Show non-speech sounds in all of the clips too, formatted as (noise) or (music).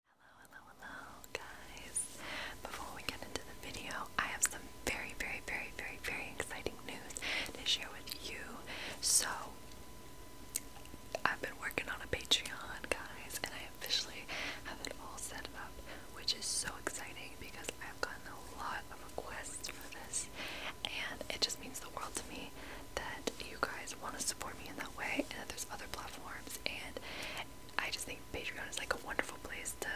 Hello, hello, hello, guys. Before we get into the video, I have some very, very, very, very, very exciting news to share with you. So, I've been working on a Patreon, guys, and I officially have it all set up, which is so exciting because I've gotten a lot of requests for this, and it just means the world to me that you guys want to support me in that way, and that there's other platforms and I just think Patreon is like a wonderful place to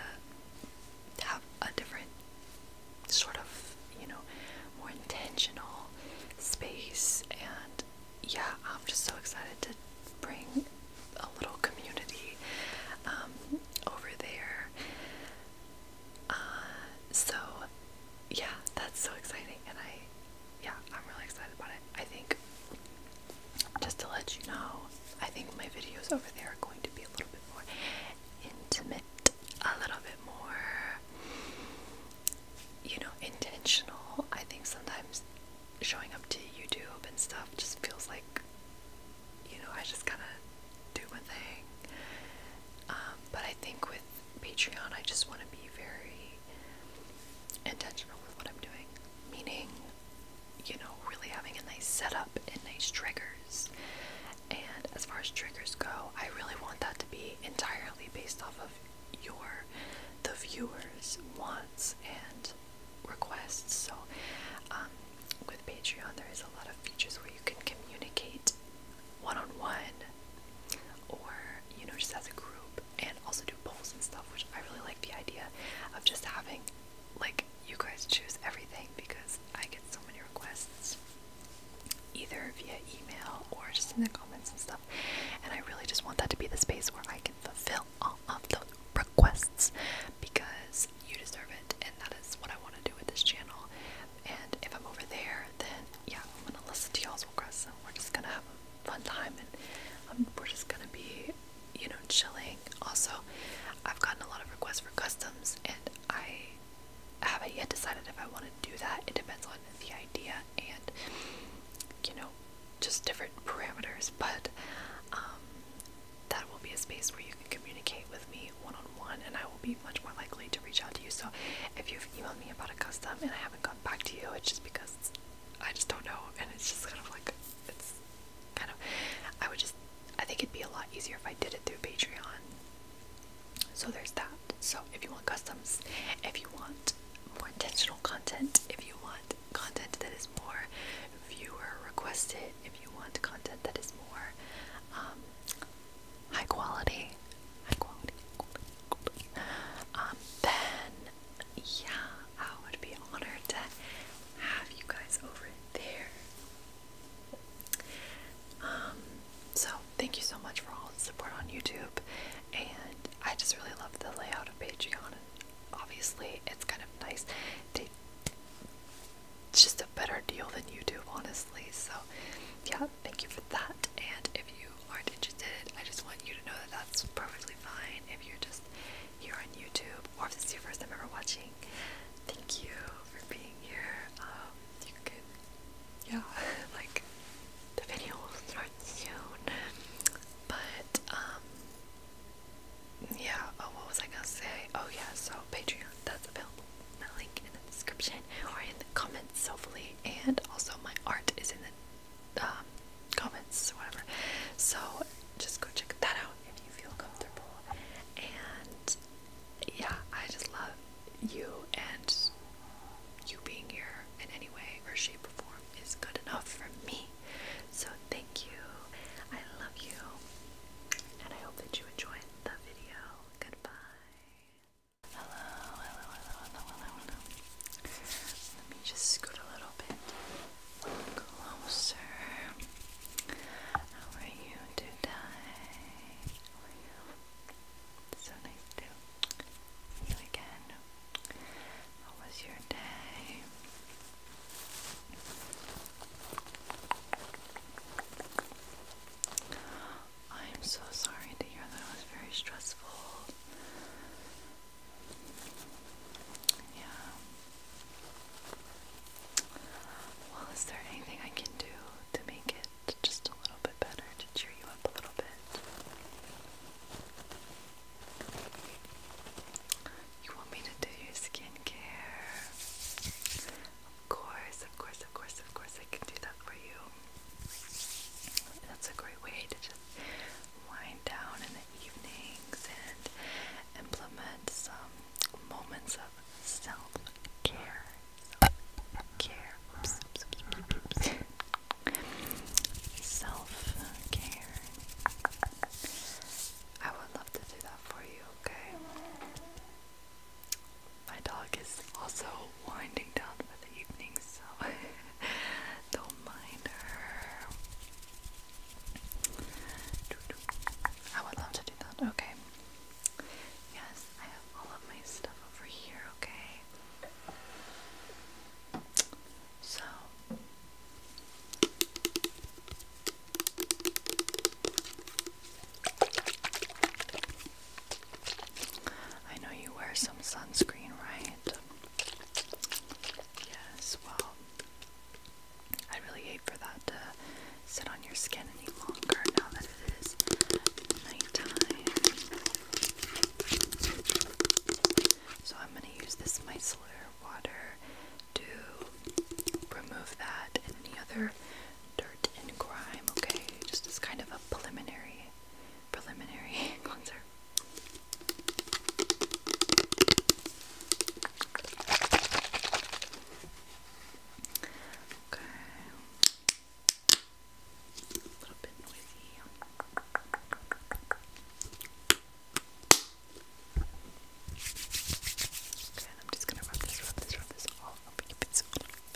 have a different sort of, you know, more intentional space. And yeah, I'm just so excited to bring a little community um, over there. Uh, so yeah, that's so exciting, and I yeah, I'm really excited about it. I think, just to let you know, I think my videos over there are going to be a little bit more intimate, a little bit more, you know, intentional. I think sometimes showing up to YouTube and stuff just feels like, you know, I just kind of do my thing. Um, but I think with Patreon, I just want to be very intentional with what I'm doing, meaning, you know, really having a nice setup and nice triggers. And as far as triggers go, I really want that to be entirely based off of your the viewers' wants and requests. So, um, with Patreon, there is a lot of features where you can communicate one on one, or you know, just as a group, and also do polls and stuff, which I really like the idea of just having like you guys choose everything because I get so many requests either via email or just in the comments and stuff. And I really just want that to be the space where I can fulfill all of those requests because you deserve it and that is what I want to do with this channel. And if I'm over there, then yeah, I'm gonna listen to y'all's requests and we're just gonna have a fun time and um, we're just gonna be, you know, chilling. Also, I've gotten a lot of requests for customs and I haven't yet decided if I want to do that. It depends on the idea and, you know, just different parameters. But um, that will be a space where you can communicate with me one on one and I will be much more likely to reach out to you. So if you've emailed me about a custom and I haven't gotten back to you, it's just because I just don't know, and it's just kind of like it's kind of. I would just. I think it'd be a lot easier if I did it through Patreon. So there's that. So if you want customs, if you want more intentional content, if you want content that is more viewer requested, if you want content that is more um, high quality, high quality, um, then yeah, I would be honored to have you guys over there. Um, so thank you so much for all the support on YouTube, and I just really love the layout of Patreon. obviously, it's kind of nice. it's just a better deal than YouTube, honestly. So yeah, thank you for that. And if you aren't interested, I just want you to know that that's perfectly fine. If you're just here on YouTube or if this is your first time ever watching, thank you for being here. Um, you can, yeah, (laughs) like the video start soon. But, um, yeah, oh, what was I gonna say? Oh, yeah, so Patreon, that's available. My link in the description or in the comments, hopefully. And also, my art is in the um, comments, whatever. So just go check that out if you feel comfortable. And yeah, I just love you and you being here in any way or shape or form is good enough for me. So thank you. I love you. And I hope that you enjoyed the video. Goodbye. Hello, hello, hello, hello, hello, Let me just scoot a little bit closer. How are you today? so nice to see you again. How was your day? I'm so sorry to hear that it was very stressful. Yeah. Well, is there anything I can do to make it just a little bit better, to cheer you up a little bit? You want me to do your skincare? Of course, of course, of course, of course, I can do that for you that's a great way to just wind down in the evenings and implement some moments of self-care. Self-care. Self-care. I would love to do that for you, okay? My dog is also winding down for the evening, so (laughs) don't mind her. I would love to do that. Okay. Yes, I have all of my stuff over here, okay? So. I know you wear some sunscreen, right? it. Yes, well, I really hate for that to sit on your skin any longer now that it is nighttime. So I'm going to use this micellar water to remove that and any other dirt and grime, okay? Just as kind of a preliminary preliminary (laughs) cleanser. Okay. A little bit noisy. Okay, I'm just gonna rub this, rub this, rub this all up your pencil. Let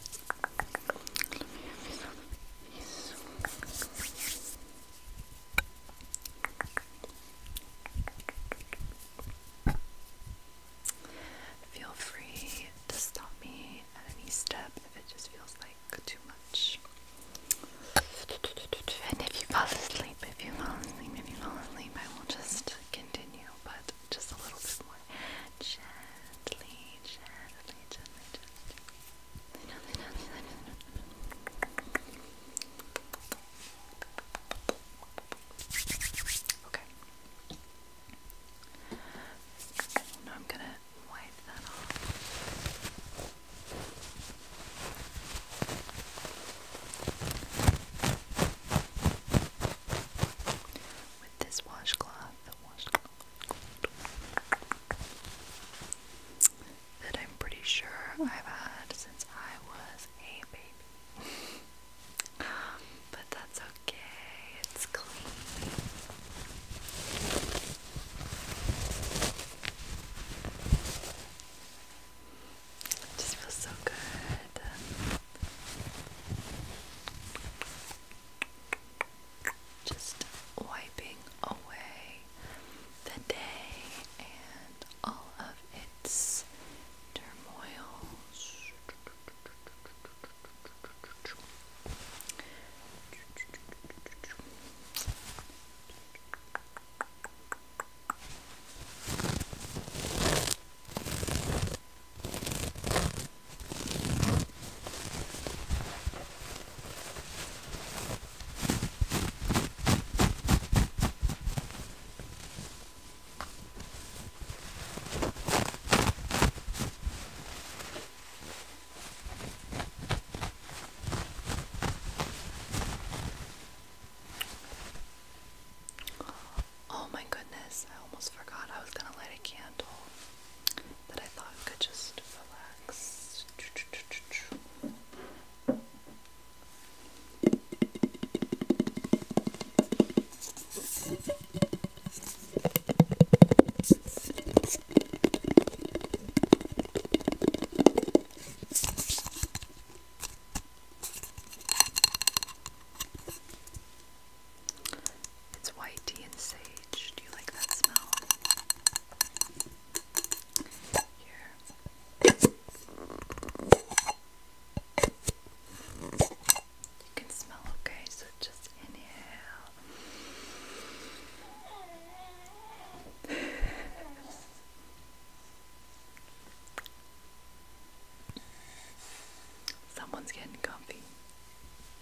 Feel free to stop me at any step if it just feels like too much. And if you fall asleep, if you fall asleep, if you fall asleep, I will just continue, but just a little bit more gently, gently, gently. Okay. Now I'm going to wipe that off. With this washcloth, the washcloth that I'm pretty sure I've had since I was a baby. (laughs) but that's okay, it's clean. just feels so good. Just wiping away the day and all of its turmoil. Oh my goodness, I almost forgot I was going to light a candle that I thought could just relax. It's white and sage. Do you like that smell? Here. You can smell okay, so just inhale. (sighs) Someone's getting comfy.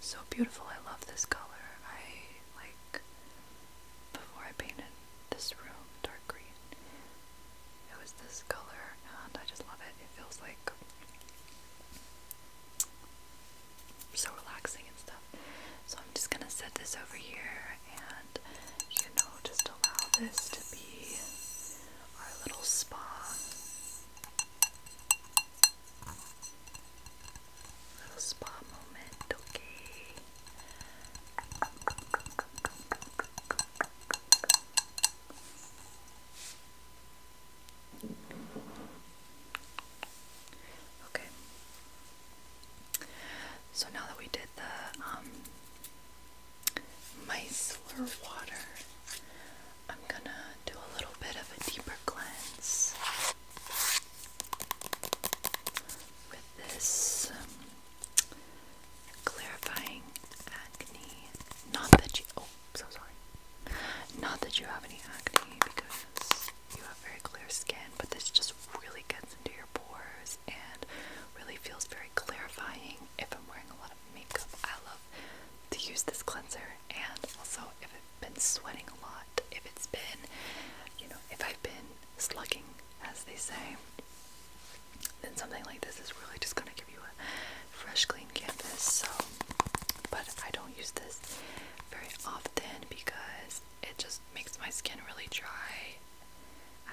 So beautiful. I love this color. I like before I painted this room dark green. It was this color and I just love it. It feels like so relaxing and stuff. So I'm just gonna set this over here and you know just allow this to be our little spot. Little spa moment, okay. Okay. So now that we did the um Meisler water, I'm gonna do a little bit of a deeper cleanse with this um, clarifying acne. Not that you, oh, so sorry. Not that you have any acne because you have very clear skin, but this just really gets into your pores and really feels very clarifying if I'm wearing a lot of makeup. I love to use this cleanser and also if I've been sweating a lot, if it's been, you know, if I've been slugging, as they say, then something like this is really just going to give you a fresh, clean canvas. So, but I don't use this very often because it just makes my skin really dry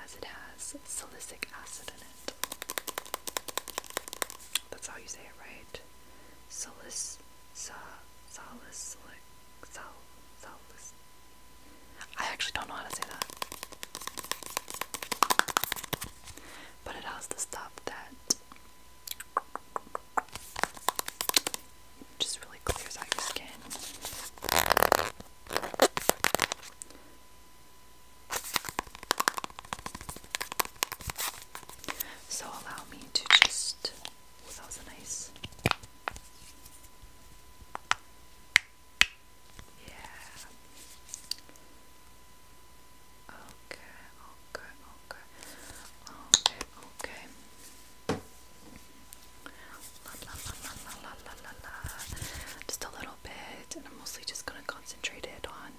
as it has salicylic acid in it. That's how you say it, right? Solis, sa, solis, sol, solis. I actually don't know how to say that. But it has the stuff that just really clears out your skin. So allow me to just. that was nice. Yeah. Okay, okay, okay. Okay, Just a little bit, and I'm mostly just gonna concentrate it on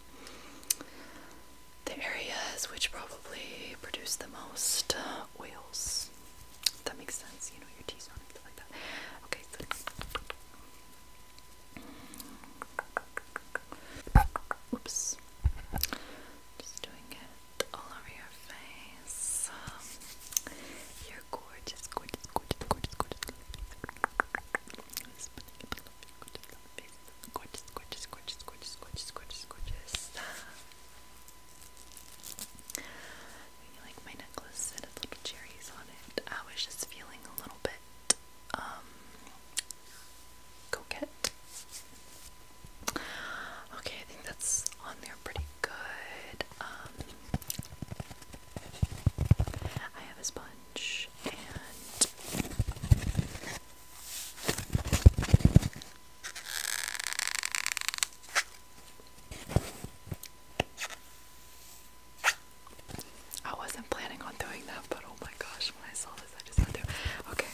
the areas which probably produce the most uh, oils. that makes sense, you know, your T-zone and stuff like that. Okay, Oops. Just doing it all over your face. you're gorgeous, gorgeous, gorgeous, gorgeous, gorgeous. Gorgeous, gorgeous, gorgeous, gorgeous, gorgeous, gorgeous, gorgeous. Maybe (laughs) like my necklace that had little cherries on it. I was just feeling a little bit, um, coquette. Okay, I think that's on there pretty good. Um, I have a sponge and I wasn't planning on doing that, but oh my gosh, when I saw this, I just had to. Okay.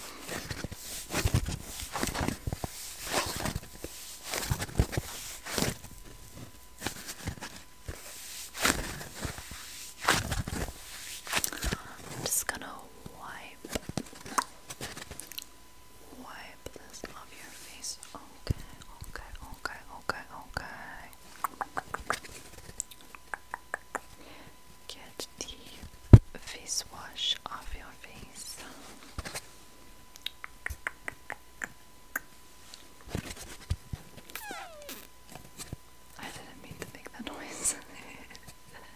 I'm just gonna wipe, wipe this off your face. Okay, okay, okay, okay, okay. Get the face wash off your face. I didn't mean to make that noise.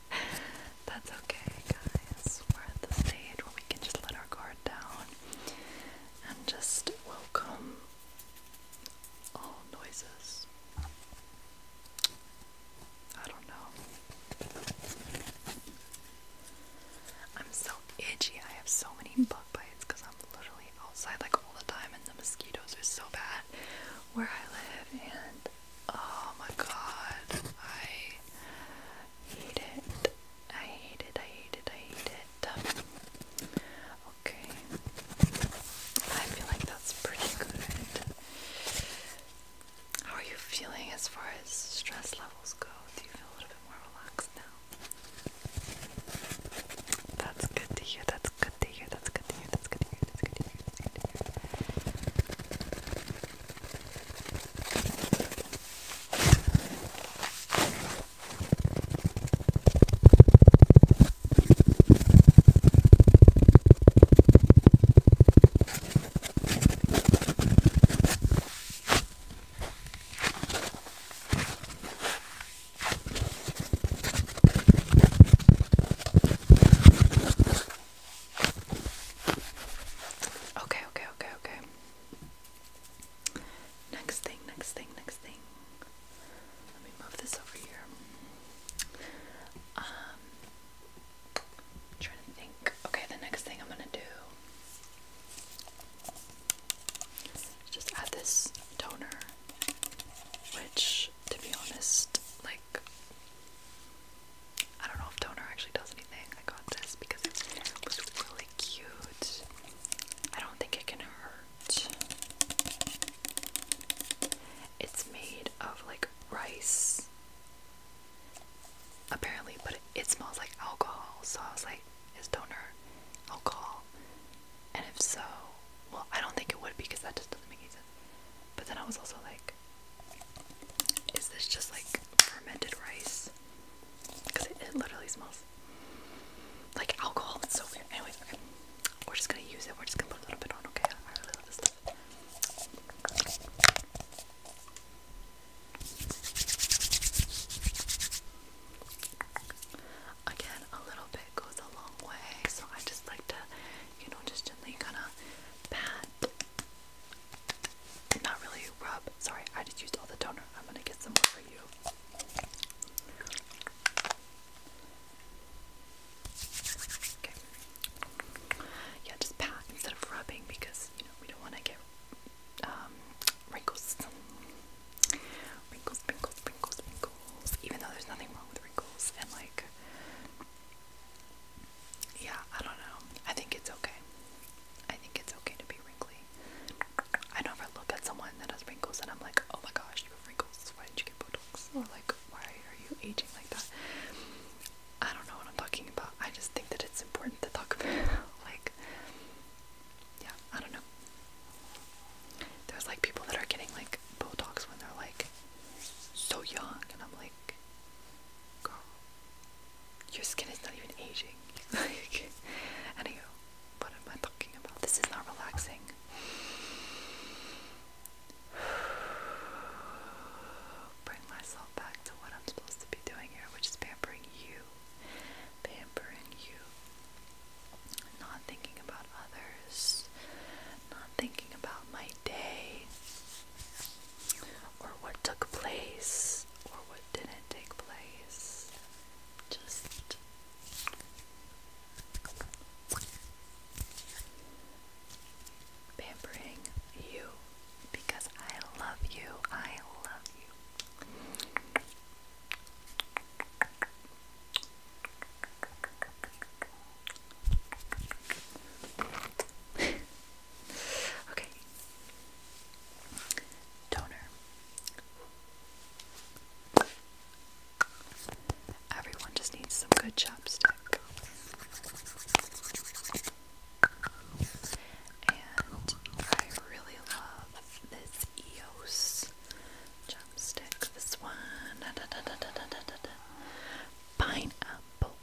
(laughs) That's okay, guys. We're at the stage where we can just let our guard down and just welcome all noises. I don't know. I'm so itchy. I have so many books bug bites because I'm literally outside like all the time and the mosquitoes are so bad where I live and oh my god, I hate it. I hate it, I hate it, I hate it. Okay. I feel like that's pretty good. How are you feeling as far as stress levels go? Do you feel a little bit more relaxed now? That's good to hear. That's good to hear. That's good to hear. That's good to hear. That's good to hear. That's good to hear. Okay, okay, okay, okay. Next thing, next thing, next thing. Let me move this over here. Um trying to think. Okay, the next thing I'm gonna do just add this toner, which, to be honest, like, I don't know if toner actually does anything. I got this because it was really cute. I don't think it can hurt. It's made of like rice, apparently, but it, it smells like alcohol, so I was like, is donor alcohol? And if so, well, I don't think it would because that just doesn't make any sense. But then I was also like, is this just like fermented rice? Because it, literally smells like alcohol. It's so weird. Anyways, okay. We're just gonna use it. We're just gonna put a little bit on, okay? I again, a little bit goes a long way, so I just like to, you know, just gently kind of pat. Not really rub. Sorry, I just used all the toner. I'm gonna get some more for you. Okay. Yeah, just pat instead of rubbing because you know we don't want to get um, wrinkles. Wrinkles, wrinkles, wrinkles, wrinkles. Even though there's nothing wrong with wrinkles, and like, yeah, I don't know. I think it's okay. I think it's okay to be wrinkly. I never look at someone that has wrinkles and I'm like, oh my gosh, you have wrinkles. Why did you get Botox? Or like, why are you aging like that? I don't know what I'm talking about. I just think that it's important to talk about, (laughs) like, yeah, I don't know. There's like people that are getting like Botox when they're like so young, and I'm like, girl, your skin is not even aging. (laughs) like, anywho, what am I talking about? This is not relaxing. (sighs) Bring myself back to what I'm supposed to be doing here, which is pampering you pampering you, not thinking about others, not thinking about my day, or what took place, or what didn't take place. Just pampering you because I love you. I love you. (laughs) okay. Toner. Everyone just needs some good chapstick. And I really love this EOS Chopstick, this one. Da, da, da, da, da, da, da, da. Pineapple.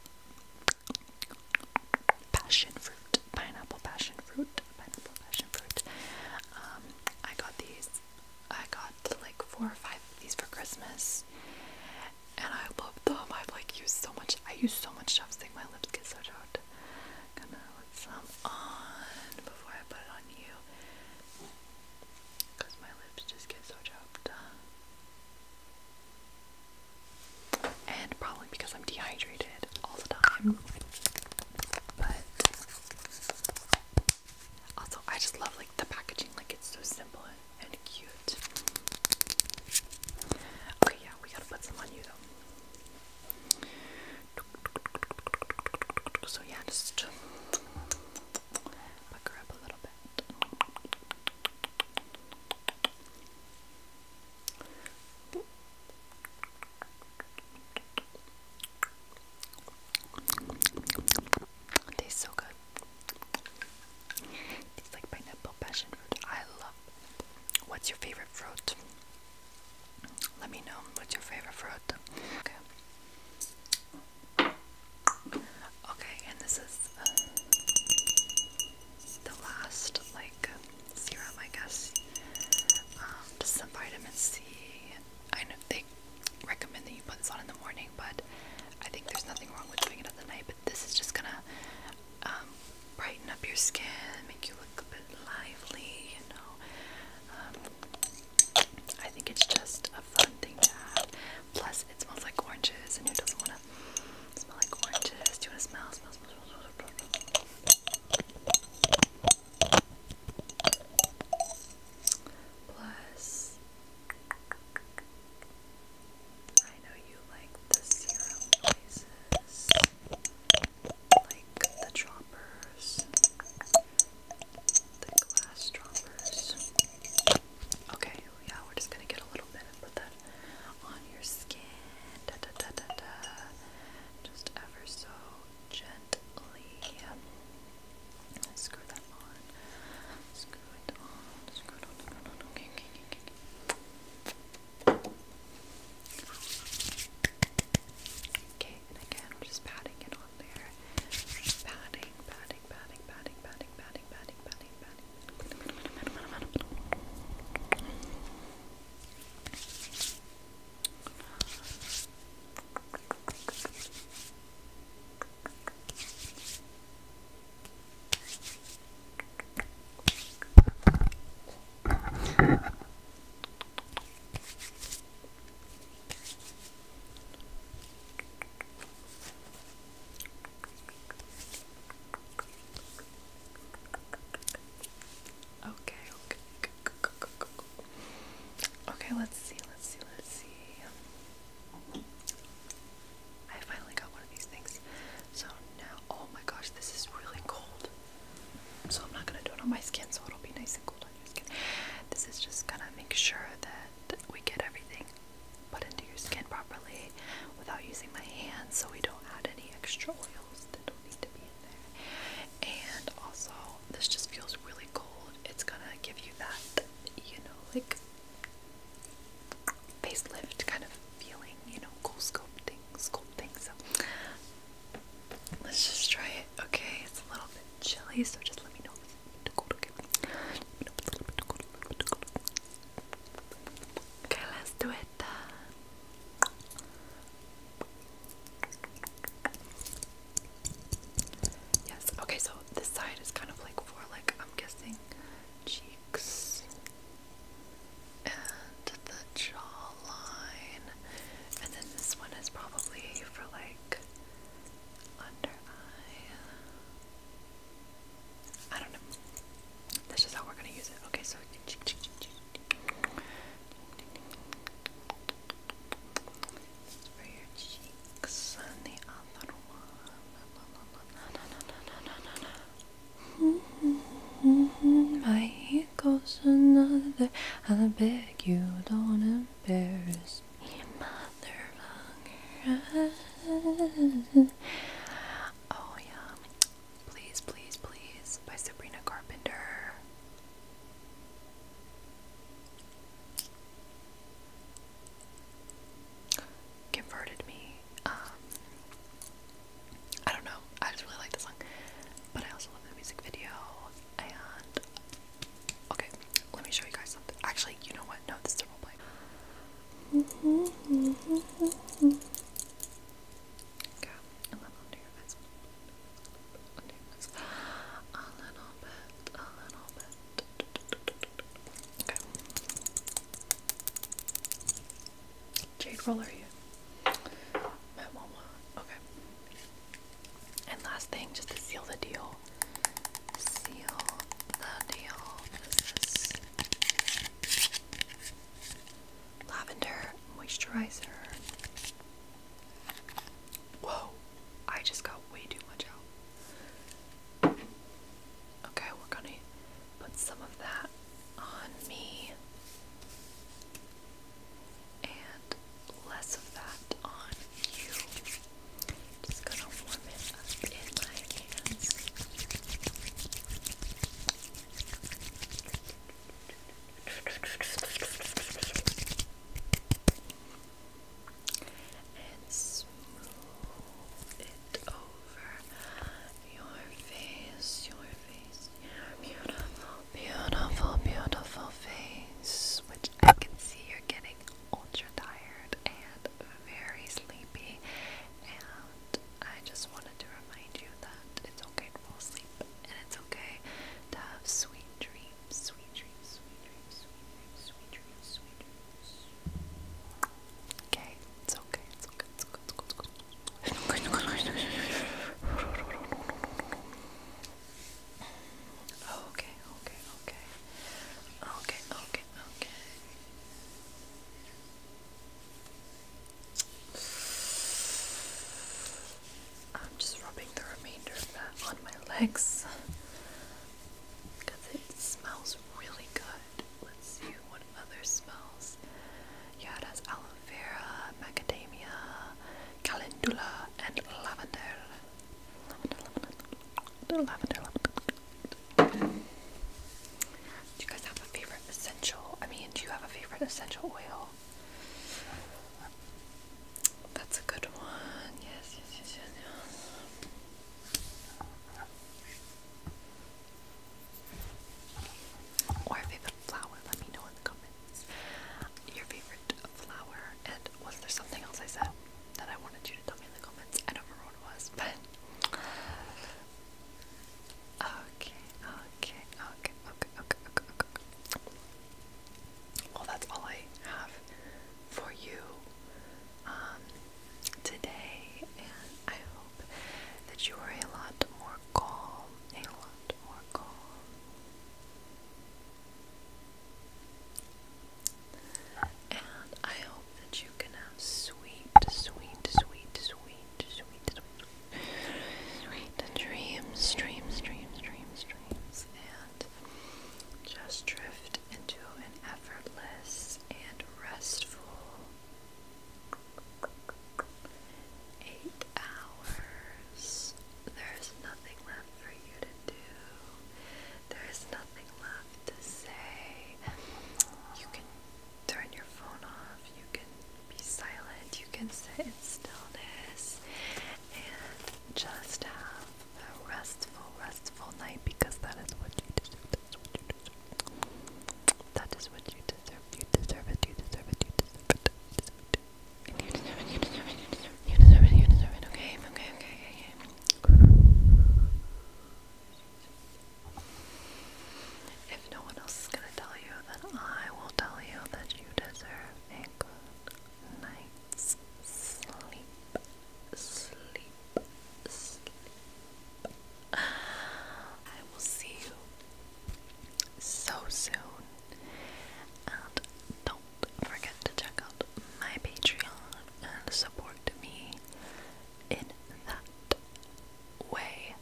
Passion fruit. Pineapple, passion fruit. Pineapple, passion fruit. Um, I got these. I got like four or five of these for Christmas. And I love them. I've like used so much. I use so much chopstick. My lips get so out gonna let some on before I put it on you because my lips just get so chopped and probably because I'm dehydrated all the time but also I just love like the packaging like it's so simple and cute okay yeah we gotta put some on you though so yeah, just buck her up a little bit. tastes so good. It's like pineapple passion fruit. I love. What's your favorite fruit? Let me know what's your favorite fruit. Okay. Okay, and this is uh, the last like serum, I guess. Um, some vitamin C. I know they recommend that you put this on in the morning, but I think there's nothing wrong with doing it at night. But this is just gonna um, brighten up your skin, make you look lively, you know. Um, I think it's just a fun thing to have. Plus, it smells like oranges, and who doesn't want to smell like oranges? Do you want to smell? Smell, smell, smell, smell, smell. Plus, I know you like the serum like the droppers, the glass droppers. Okay, yeah, we're just gonna get a little bit and put that on your skin. Just ever so gently. Screw that on. Screw it on. Screw it on. Okay, okay, okay, okay. Okay, and again, we're just patting it on there. Just patting, patting, patting, patting, patting, patting, patting, patting, Okay, okay. Okay, let's see, let's see, let's see. I finally got one of these things. So now, oh my gosh, this is really cold. So I'm not gonna do it on my skin, so it'll be nice and cold on your skin. This is just gonna make sure that we get everything put into your skin properly without using my hands, so we don't add any extra oils that don't need to be in there. And also, this just feels really cold. It's gonna give you that, you know, like facelift kind of feeling, you know, cool sculpting, sculpting. So Let's just try it. Okay, it's a little bit chilly, so just let me know Okay, let's do it. yes. Okay, so this side is kind of like for like I'm guessing cheeks and the jawline, and then this one is probably for like under eye. I don't know. That's just how we're gonna use it. Okay, so. It's for your cheeks and the other one. (laughs) My here goes another. I beg you, don't embarrass me, motherfucker. Oh, yeah. Please, please, please. By Sabrina Carpenter. Converted me. Um, I don't know. I just really like the song. But I also love the music video. And okay, let me show you guys something. Actually, you know what? No, this is a role play. Okay, and then under your eyes. Under your eyes. A little bit, a little bit. Okay. Jade roller here. Okay. And last thing, just to seal the deal. Seal the deal. This is lavender moisturizer. Whoa, I just got way too much out. Okay, we're gonna put some of that on me and less of that on you. Just gonna warm it up in my hands. And smooth it over your face, your face, beautiful, beautiful, beautiful face, which I can see you're getting ultra tired and very sleepy. And I just wanted to remind you that it's okay to fall asleep and it's okay to have sweet dreams, sweet dreams, sweet dreams, sweet dreams, sweet dreams, sweet dreams. Okay, it's okay, it's okay, it's okay, it's okay. It's okay. Okay, okay, okay. Okay, okay, okay. I'm just rubbing the remainder of that on my legs because it smells really good. Let's see what other smells. Yeah, it has aloe vera, macadamia, calendula, and lavender. Lavender, lavender, lavender, lavender. Do you guys have a favorite essential? I mean, do you have a favorite essential oil? That's a good one. Yes, yes, yes, yes, yes. Or favorite flower, let me know in the comments. Your favorite flower, and was there something else I said that I wanted you to tell me in the comments? I don't remember what it was, but. Okay, okay, okay, okay, okay, okay, okay. Well, that's all I have for you um, today, and I hope that you are a lot more calm, a lot more calm. And I hope that you can have sweet, sweet, sweet, sweet, sweet, dreams, dreams, dreams, dreams, dreams, and just drift into an effortless and restful Eight hours. There's nothing left for you to do. There's nothing left to say. You can turn your phone off. You can be silent. You can sit in stillness and just have a restful, restful night because that is what you do. That's what you do. That is what you deserve. You deserve it. You deserve it. You deserve it. You deserve it. You deserve it. You deserve it. You deserve it. You deserve it. Okay. Okay. Okay. Okay. If no one else is gonna tell you, then I will tell you that you deserve a good night's sleep. Sleep. Sleep. Sleep. I will see you so soon. And don't forget to check out my Patreon and support me in that way.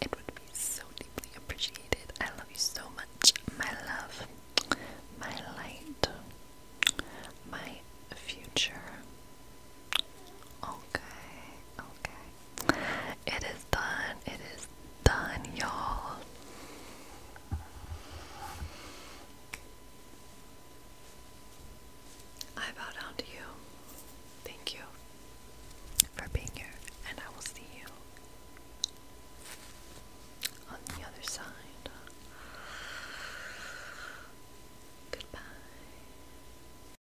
It would be so deeply appreciated. I love you so much. My love, my light, my future. Okay, okay. It is done. It is done, y'all. I bow down to you. Thank you for being here, and I will see you on the other side. Goodbye.